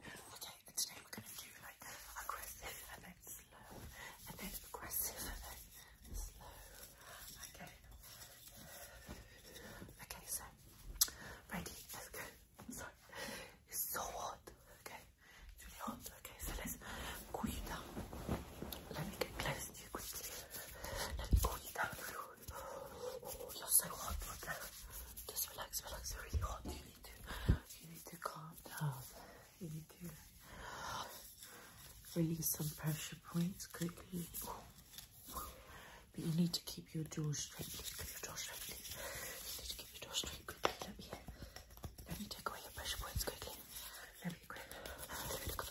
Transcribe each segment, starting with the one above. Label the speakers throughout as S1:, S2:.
S1: Okay, and today we're gonna do like aggressive and then slow, and then aggressive and then slow. Okay. Okay, so ready, let's go. Sorry. It's so hot. Okay. It's really hot. Okay, so let's cool you down. Let me get close to you quickly. Let me cool you down. Oh, you're so hot. Just relax, relax. you really hot you need to calm down. You need to release some pressure points quickly. But you need to keep your jaw straight. Keep your jaw straight. keep your jaw straight quickly. Let me take away your pressure points quickly. Let me grab let me quickly.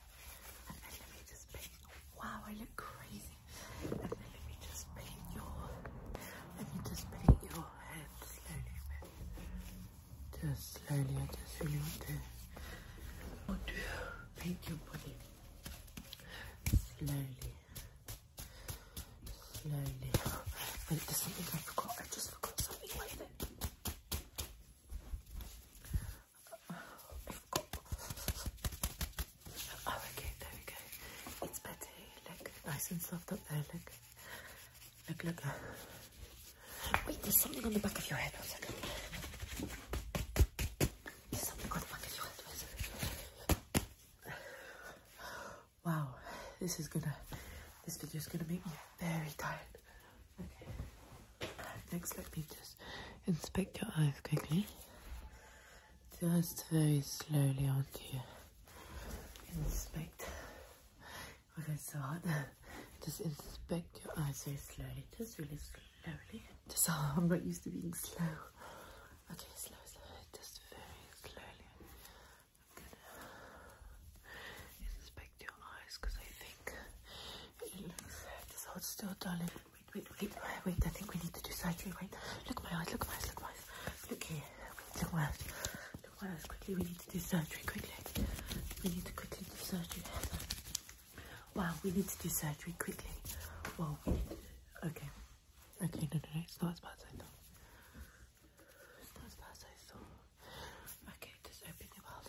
S1: Wow, I look crazy. let me just paint your. Let me just paint your head slowly. Just slowly. I just really want to. Want to paint your body slowly. Slowly. Wait, there's something I forgot. I just forgot something. Oh, okay, there we go. It's Betty. look. Nice and soft up there, look. Look, look. Wait, there's something on the back of your head. One second. There's something on the back of your head. Wow, this is gonna, this video's gonna make me very tired. Okay. Next, let me just inspect your eyes quickly. Just very slowly onto you. Inspect. Okay, so hard. Just inspect your eyes very slowly. Just really slowly. Just, oh, I'm not used to being slow. Okay, slow, slow. Just very slowly. inspect your eyes because I think it looks so it's still darling. Wait, wait, wait, wait, I think we need to do surgery. Wait, look at my eyes, look at my eyes, look my eyes. Look here, look my eyes. Look my eyes, quickly, we need to do surgery, quickly. We need to quickly do surgery. Wow, we need to do surgery, quickly. Wow, we need to do, okay. Okay, no, no, no, it's not as bad as I Okay, just open your mouth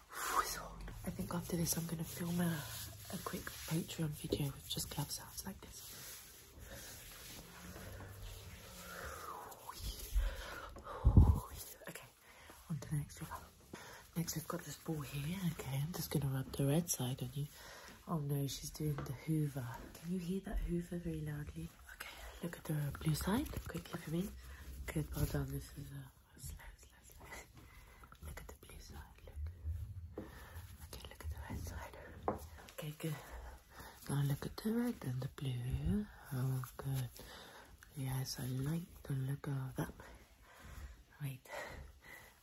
S1: I think after this, I'm going to film a, a quick Patreon video with just glove sounds like this. Okay, on the next rubber. Next, we've got this ball here. Okay, I'm just going to rub the red side on you. Oh no, she's doing the hoover. Can you hear that hoover very loudly? Okay, look at the blue side quickly for me. Good, well done. This is a Look at the blue side, look. Okay, look at the red side. Okay, good. Now look at the red and the blue. Oh, good. Yes, I like the look of that. Wait,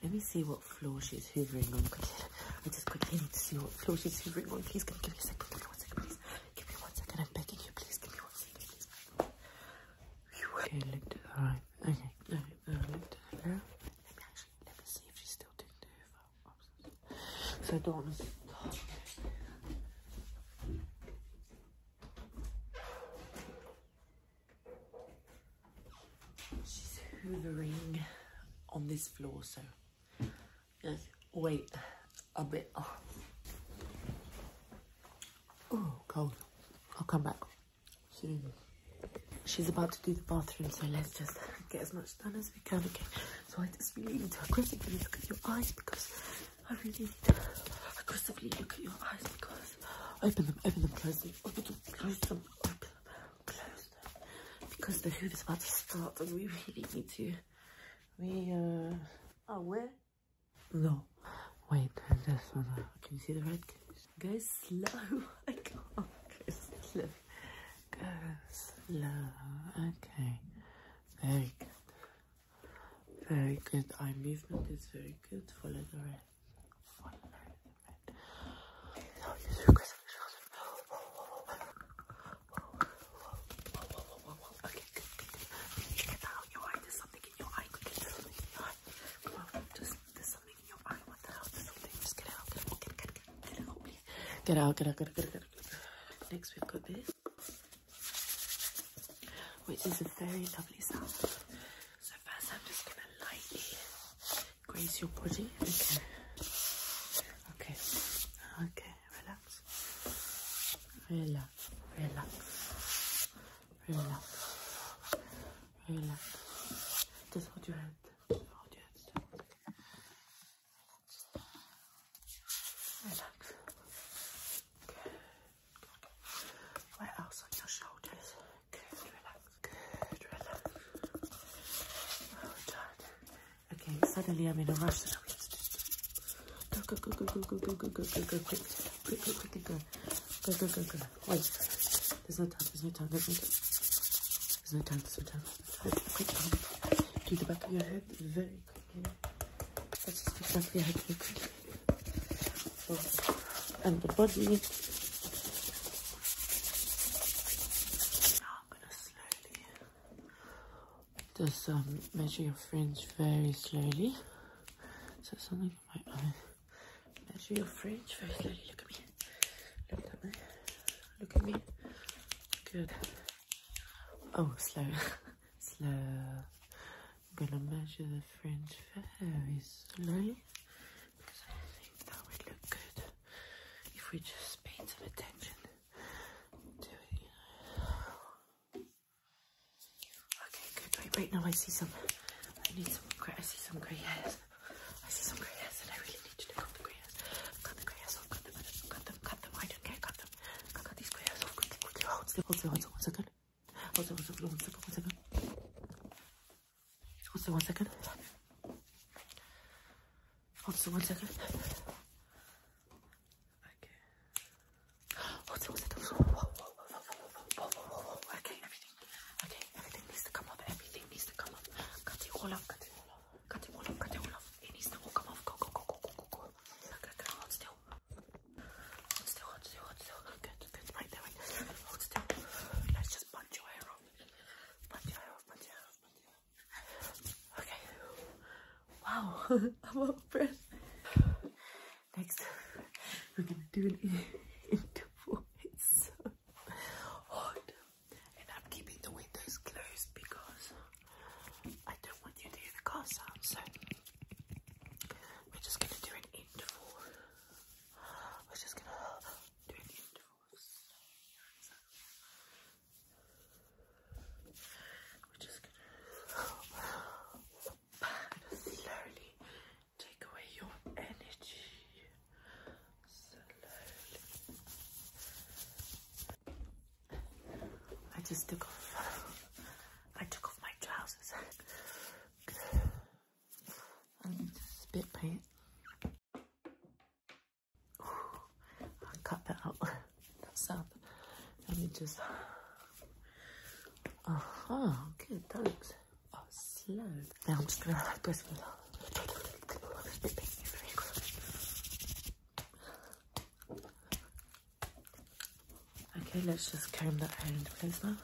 S1: let me see what floor she's hovering on. I just quickly need to see what floor she's hovering on. Please, give me a second. Give me one second, please. Give me one second. I'm begging you, please. Give me one second, Okay, look to the right right, okay, no, um, let me actually, let me see if she's still doing the hoover. So I don't want to... Oh, no. She's hoovering on this floor, so... Yes. Wait a bit. Oh, cold. I'll come back. She's about to do the bathroom, so let's just get as much done as we can, okay? So I just really need to aggressively look at your eyes because I really need to aggressively look at your eyes because open them, open them, close them, open them, close them, open them, close them. Because the hoop is about to start and we really need to, we, are uh, oh, where? No, wait, this one. Can you see the red? Go slow. go slow. Go slow. Okay. Very good. Very good. Eye movement is very good. for the red your eye. Could your eye. Come on, there's something in your eye. What the hell? There's something. Just get out. Get out. Get, out. Get out. Get out. Get out. Get out. Get out. Next, we've got this, which is a very lovely sound. So first, I'm just gonna lightly graze your body. Okay. Okay. Okay. Relax. Relax. Relax. Relax. Relax. Just hold your head. Hold your head still. Relax. Good. Where else on your shoulders? Good, relax. Good, relax. Well done. Okay, suddenly I'm in a rush. Go, go, go, go, go, go, go, go, go, go, go, quick, quick, quick, quick, quick, go. Go, go, go, go. Wait. There's no time. There's no time. There's no time. There's no time. There's Quick, Do the back of your head very quickly. just the back of your head quickly. And the body. I'm gonna slowly just measure your fringe very slowly. So something Measure your fringe very slowly. Look at me. Look at me. Look at me. Good. Oh, slow. slow. I'm gonna measure the fringe very slowly because I think that would look good if we just paid some attention to it. Okay, good. Wait, wait. Now I see some. I need some grey. I see some grey hairs. I see some grey hairs, and I really need to take off the grey hairs. Cut the grey hairs off. Cut them. Cut them. Cut them. I don't care. Cut them. Cut, cut these grey hairs off. Quickly, quickly. Hold still. Hold still. Hold still. One second. Hold still. One second. One second. One second. Hold still. One second. Hold still. One second. Okay. Oh, okay, everything. Okay, everything needs to come off. Everything needs to come off. Cut it all off, cut it all off. Cut it all off, it needs to all come off. Go, go, go, go, go, go, go. Let's just punch your hair off. Punch your hair off, punch your hair off. Okay. Wow, I'm out of breath. Next, we're gonna do an indoor voice. It's hot, and I'm keeping the windows closed because I don't want you to hear the car sound. So we're just gonna do an interval. We're just gonna do an interval. We're just gonna slowly take away your energy. Slowly. I just took off. I took off my trousers. I need to spit paint. i cut that out. That sound. Let me just. Aha, good, thanks. Oh, slow. Now I'm just gonna like this Okay, let's just comb that hair into place now.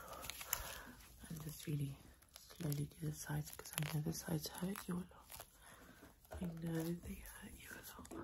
S1: And just really slowly do the sides because I know the sides hurt you a lot. I know they hurt you a lot.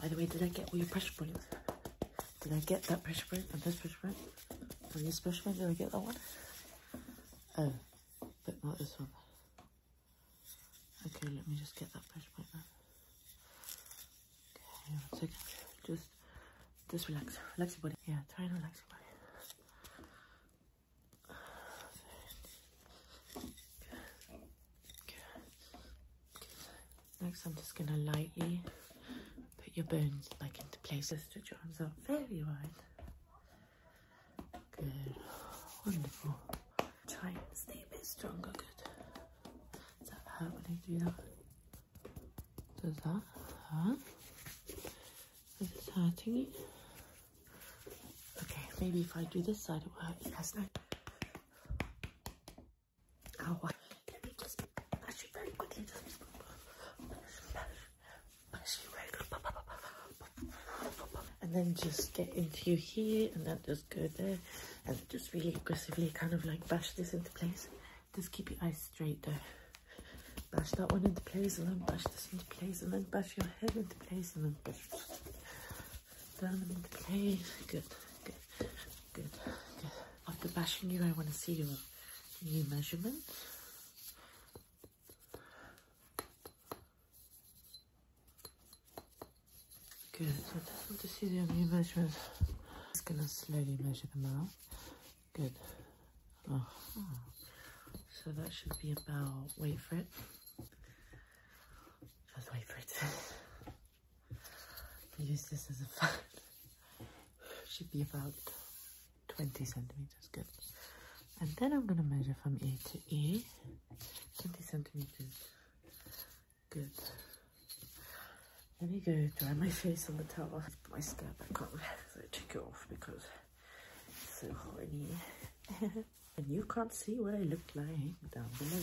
S1: By the way, did I get all your pressure points? Did I get that pressure point? and this pressure point? And this pressure print, did I get that one? Oh, but not this one. Okay, let me just get that pressure point. now. Okay, one second. Just, just relax. Relax your body. Yeah, try and relax your body. Next, I'm just gonna lightly put your bones back into place. Just stretch your arms out very wide. Good, wonderful. Tight, stay a bit stronger, good. Does that hurt when I do that? Does that hurt? Is it hurting you? Okay, maybe if I do this side, it will hurt you less. No. And then just get into here and then just go there and just really aggressively kind of like bash this into place. Just keep your eyes straight there. Bash that one into place and then bash this into place and then bash your head into place and then bash down and okay. Good, good, good, good. After bashing you, I want to see your new measurement. Good, I just want to see the new measurement. just gonna slowly measure them out. Good. Uh So that should be about, wait for it. Just wait for it use this as a fan. Should be about 20 centimeters, good. And then I'm gonna measure from A to ear, 20 centimeters, good. Let me go dry my face on the towel. Put my scalp back on, so I took it off because it's so horny. and you can't see what I look like down below.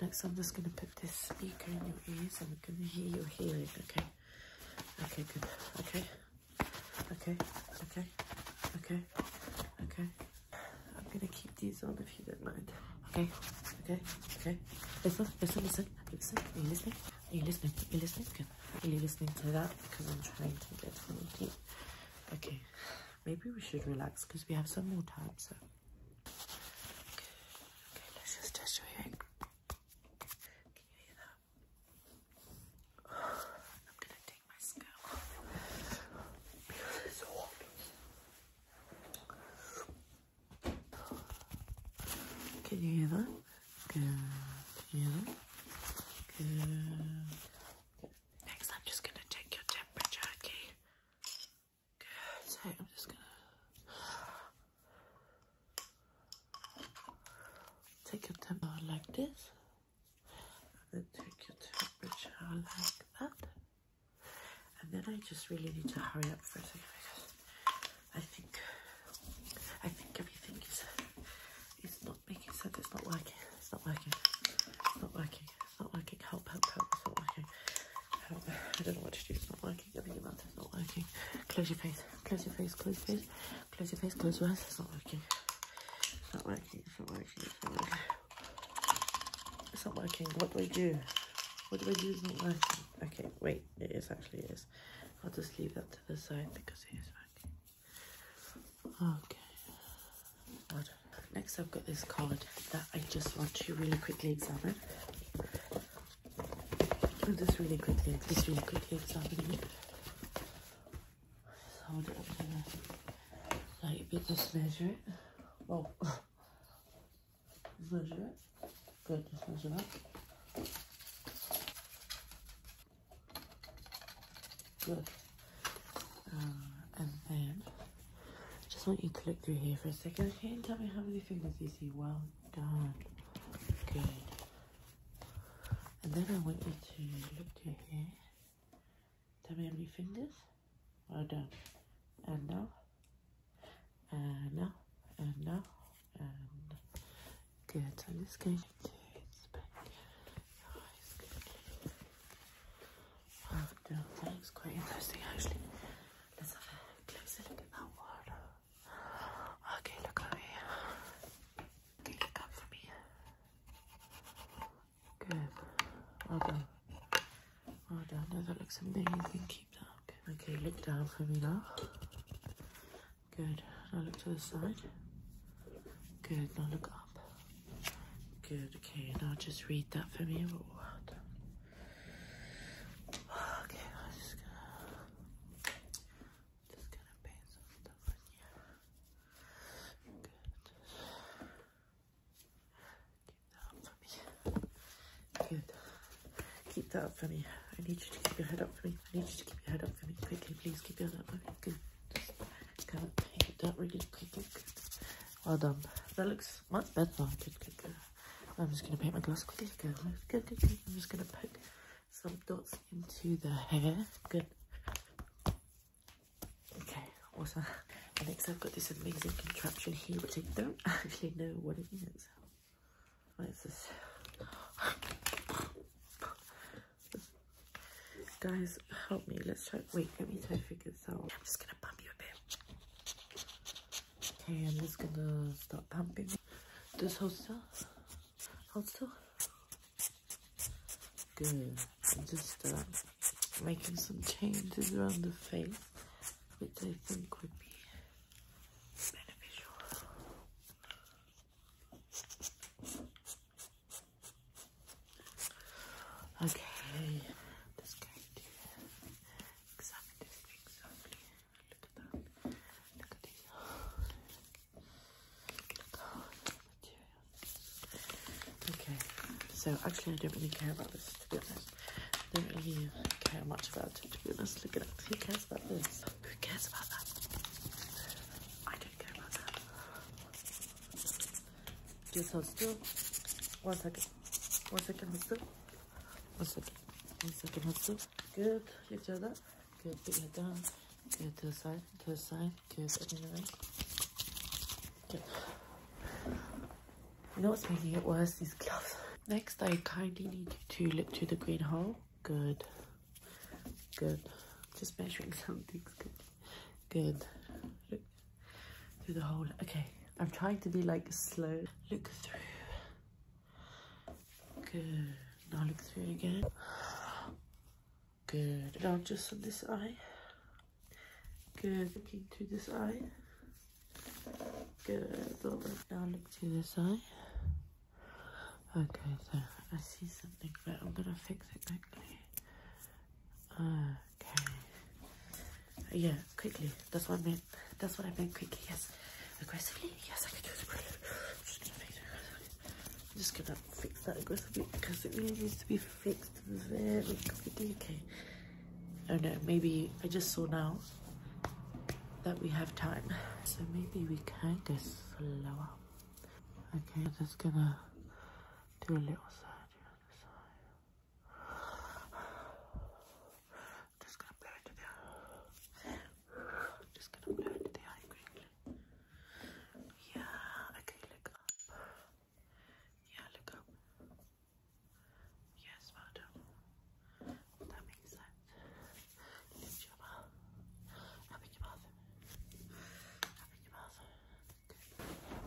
S1: Next, I'm just going to put this speaker in your ears and we can hear your hearing, okay? Okay, good. Okay. Okay. Okay. Okay. Okay. I'm going to keep these on if you don't mind. Okay. Okay. Okay. Listen, listen, listen. Listen. Are you listening? Are you listening? Are you listening? Good. Are you listening to that? Because I'm trying to get something. Okay. Maybe we should relax because we have some more time, so. Okay, let's just test your hearing. Can you hear that? I'm gonna take my scalp Can you hear that? Good. Can you Next, I'm just gonna take your temperature, okay? Good. So I'm just gonna take your temperature like this. And then take your temperature like that. And then I just really need to hurry up for a second I think I think everything is is not making sense. It's not working. It's not working. It's not working. It's not working. Help, help, help. It's not working. Help. Um, I don't know what to do. It's not working keep opening your mouth, it's not working. Close your face, close your face, close your face, close your face, close your eyes, it's not working. It's not working, it's not working, it's not working. It's not working, what do I do? What do I do is not working. Okay, wait, it is actually, it is. I'll just leave that to the side because it is working. Okay. Next, I've got this card that I just want to really quickly examine. And oh, this really good thing, this really good thing's happening. Just hold it up to the light a bit, just measure it. Oh, measure it. Good, just measure that. Good. Uh, and then just want you to look through here for a second, okay? And tell me how many fingers you see. Well done. Good. And then I want you to look through here. Tell me how many fingers. Well done. And now. And now. And now. good. I'm just going to inspect your eyes. Good. Well done. That looks quite interesting actually. Let's have a closer look at that water. Okay, look at me. Okay, look up for me. Good. Well done. Well done. No, that looks amazing. Keep that up. Okay, look down for me now. Good. Now look to the side. Good. Now look up. Good. Okay, now just read that for me. What? Okay, I'm just gonna just gonna paint some stuff on you. Good. Keep that up for me. Good. Keep that up for me. I need you to keep your head up for me. I need you to keep your head up for me. Quickly, please keep your head up for me. Good. Just gonna paint that really quickly. Good. Well done. That looks my bedtime. Good, good, good. I'm just going to paint my glass Good, good, good, I'm just going to poke some dots into the hair. Good. Okay, awesome. next I've got this amazing contraption here, which I don't actually know what it is. What is this? Guys, help me. Let's try. Wait, let me try to figure this out. I'm just going to bump you a bit. Okay, I'm just gonna start pumping. Just hold still. Hold still. Good. I'm just uh, making some changes around the face, which I think would be beneficial. Okay, just going to examine this Look at that. Look at these. Okay, so actually I don't really care about this to be honest. I do much about it to be honest. Look at that. Who cares about this? Who cares about that? I don't care about that. Just hold still. One second. One second, hold still. One second. One second. That's good. You feel that? Good. Put your down. Good. To the side. To the side. Good. Open your Good. You know what's making it worse? These gloves. Next, I kindly need you to look through the green hole. Good. Good. Just measuring something. good. Good through the hole. okay. I'm trying to be like slow. Look through. Good. Now look through again. Good. Now just on this eye. Good. Looking through this eye. Good. Now look through this eye. Okay, so I see something, but I'm gonna fix it quickly. Uh, Okay. Uh, yeah, quickly. That's what I meant. That's what I meant. Quickly. Yes. Aggressively. Yes, I can do it. just gonna fix that aggressively because it really needs to be fixed very quickly. Okay. I oh, don't know. Maybe I just saw now that we have time, so maybe we can go slower. Okay, I'm just gonna do a little side. Just gonna apply it the Just gonna blow it to the eye quickly. Yeah, okay, look up. Yeah, look up. Yes, well That makes sense. Lift your mouth. Open your mouth. Open your mouth.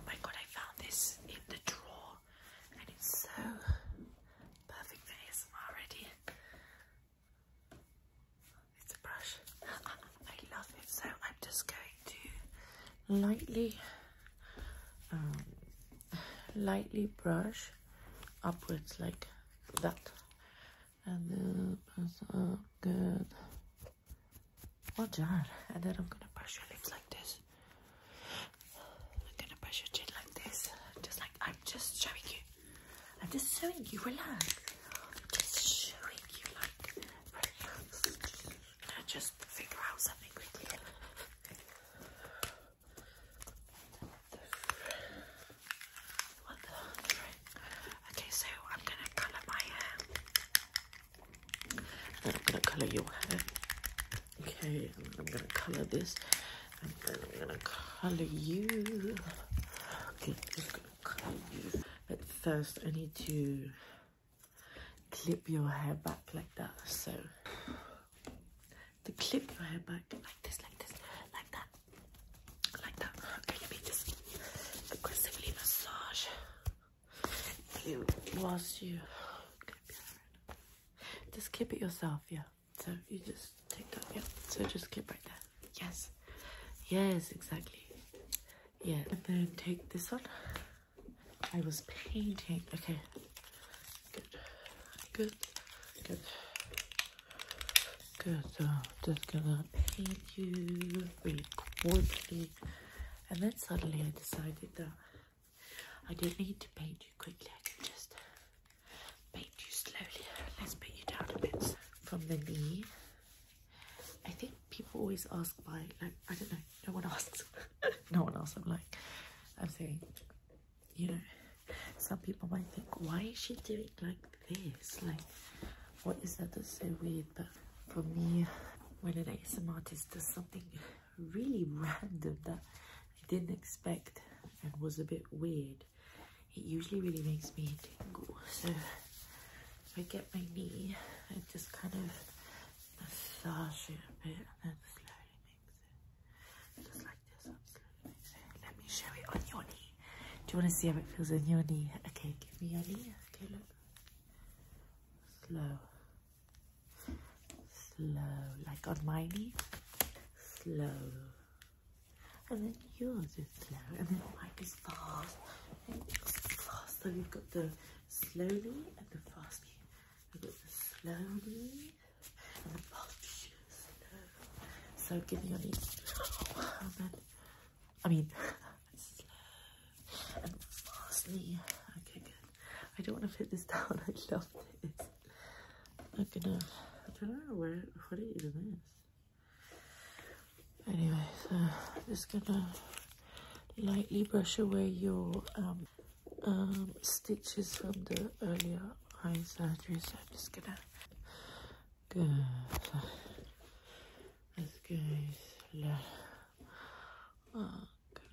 S1: My god, I found this in the drawer and it's so perfect for ASMR already. It's a brush. I love it. So I'm just going to lightly, um, lightly brush upwards like that. And then press up good. Well done. And then I'm gonna brush your lips like this. I'm gonna brush your chin like this. Just like I'm just showing you. I'm just showing you. Relax. I'm just showing you like relax. I just figure out something quickly? What the? Okay, so I'm gonna colour my hair. Then I'm gonna color your hair. Okay, I'm gonna color this, and then I'm gonna color you. Okay, I'm gonna color you. But first, I need to clip your hair back like that. So to clip your hair back like this, like this, like that, like that. Okay, you need this aggressively massage you whilst you just keep it yourself, yeah. So you just take that, yeah. So just keep right there. Yes. Yes, exactly. Yeah. And then take this one. I was painting. Okay. Good. Good. Good. Good. So I'm just gonna paint you really quickly. And then suddenly I decided that I don't need to paint you quickly, I can just paint you slowly. Let's put you down a bit from the knee. I think people always ask why, like, I don't know, no one asks. no one asks, I'm like, I'm saying, you know, some people might think, why is she doing like this? Like, what is that that's so weird? But for me, when an artist does something really random that I didn't expect and was a bit weird. It usually really makes me tingle. So I get my knee I just kind of massage it a bit and then slowly mix it. Just like this, Let me show it on your knee. Do you want to see how it feels on your knee? Okay, give me your knee. Okay, look. Slow slow, like on my knee, slow, and then yours is slow, and then mine is fast, and yours fast. So you've got the slowly and the fastly. I've got the slowly and the fastly. Slow. So give me your knee oh, I mean. slow and fastly. Okay, good. I don't want to put this down. I love this. I'm gonna. I don't know where What is it even is. Anyway, so I'm just gonna lightly brush away your um, um, stitches from the earlier eye surgery. So I'm just gonna. Good. Let's go slow. Uh, Okay.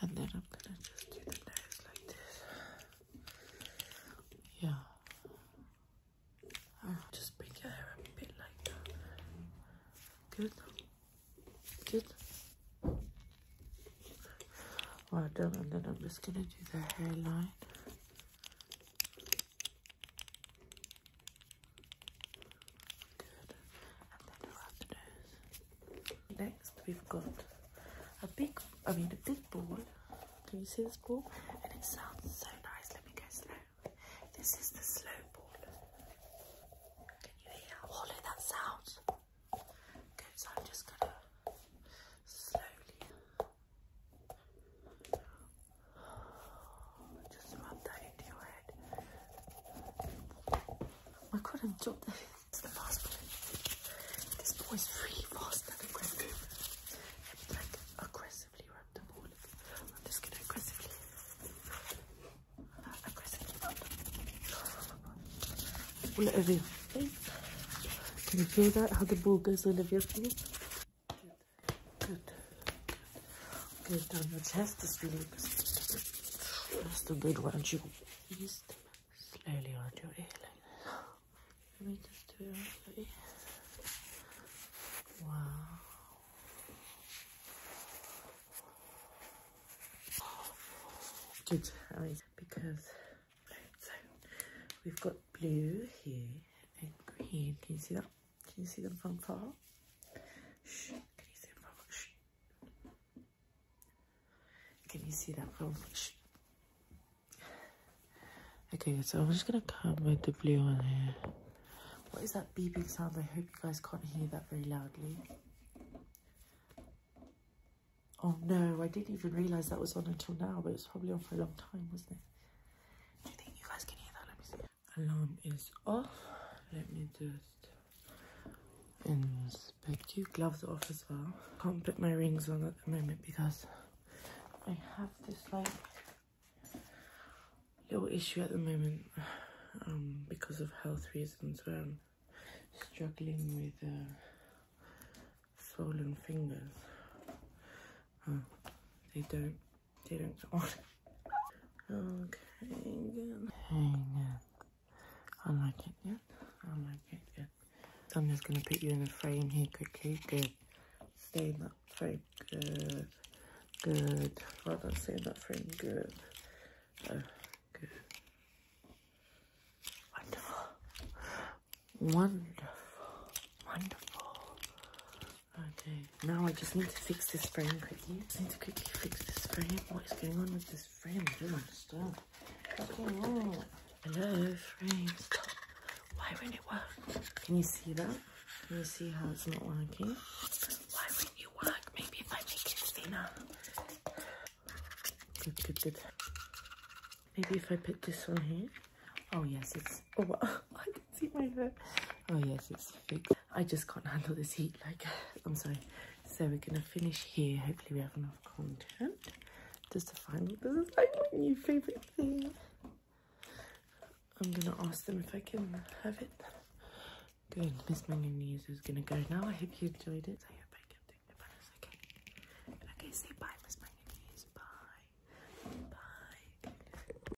S1: And then I'm gonna just do the nose like this. Yeah. just bring your hair a bit like that. Good. Good. Well done, and then I'm just gonna do the hairline. Next, we've got a big, I mean a big ball. Can you see this ball? And it sounds so nice. Let me go slow. This is the slow ball. Can you hear how hollow that sounds? Good, so I'm just gonna slowly just rub that into your head. I couldn't jump the, to the last point. This boy is really fast and aggressive. And like aggressively rub the ball. I'm just gonna aggressively uh, aggressively rub the ball. Can you feel that? How the ball goes Olivia's face? Good. Get down your chest, just release. Just a bit around your east. Slowly around your ear like this. Let me just do it around your Wow. Good. Right. Because we've got blue here and green. Can you see that? Can you see them from far? Can you see them from Can you see that from Shh. Okay, so I'm just gonna come with the blue one here. What is that beeping sound? I hope you guys can't hear that very loudly. Oh no, I didn't even realise that was on until now, but it was probably on for a long time, wasn't it? Do you think you guys can hear that? alarm is off let me just inspect you gloves off as well can't put my rings on at the moment because i have this like little issue at the moment um, because of health reasons where i'm struggling with uh, swollen fingers uh, they don't didn't go on. Okay, good. Hang on. I like it, yeah? I like it, Yeah. I'm just gonna put you in a frame here quickly. Good. Stay in that frame. Good. Good. Well done, stay in that frame. Good. Uh, good. Wonderful. Wonderful. Wonderful. Okay, now I just need to fix this frame quickly. Just need to quickly fix this frame. What is going on with this frame? I don't understand. What's going on? Hello, frame. Why won't it work? Can you see that? Can you see how it's not working? Why won't you work? Maybe if I make it thinner. Good, good, good. Maybe if I put this one here. Oh yes, it's. Oh, see my hair. Oh yes, it's fake. I just can't handle this heat, like, I'm sorry. So we're gonna finish here. Hopefully we have enough content. Just to find out, this is like my new favorite thing. I'm gonna ask them if I can have it. Good, Miss Mangan News is gonna go now. I hope you enjoyed it. I hope I kept doing the balance, okay? Okay, say bye, Miss Mangan News. Bye. Bye.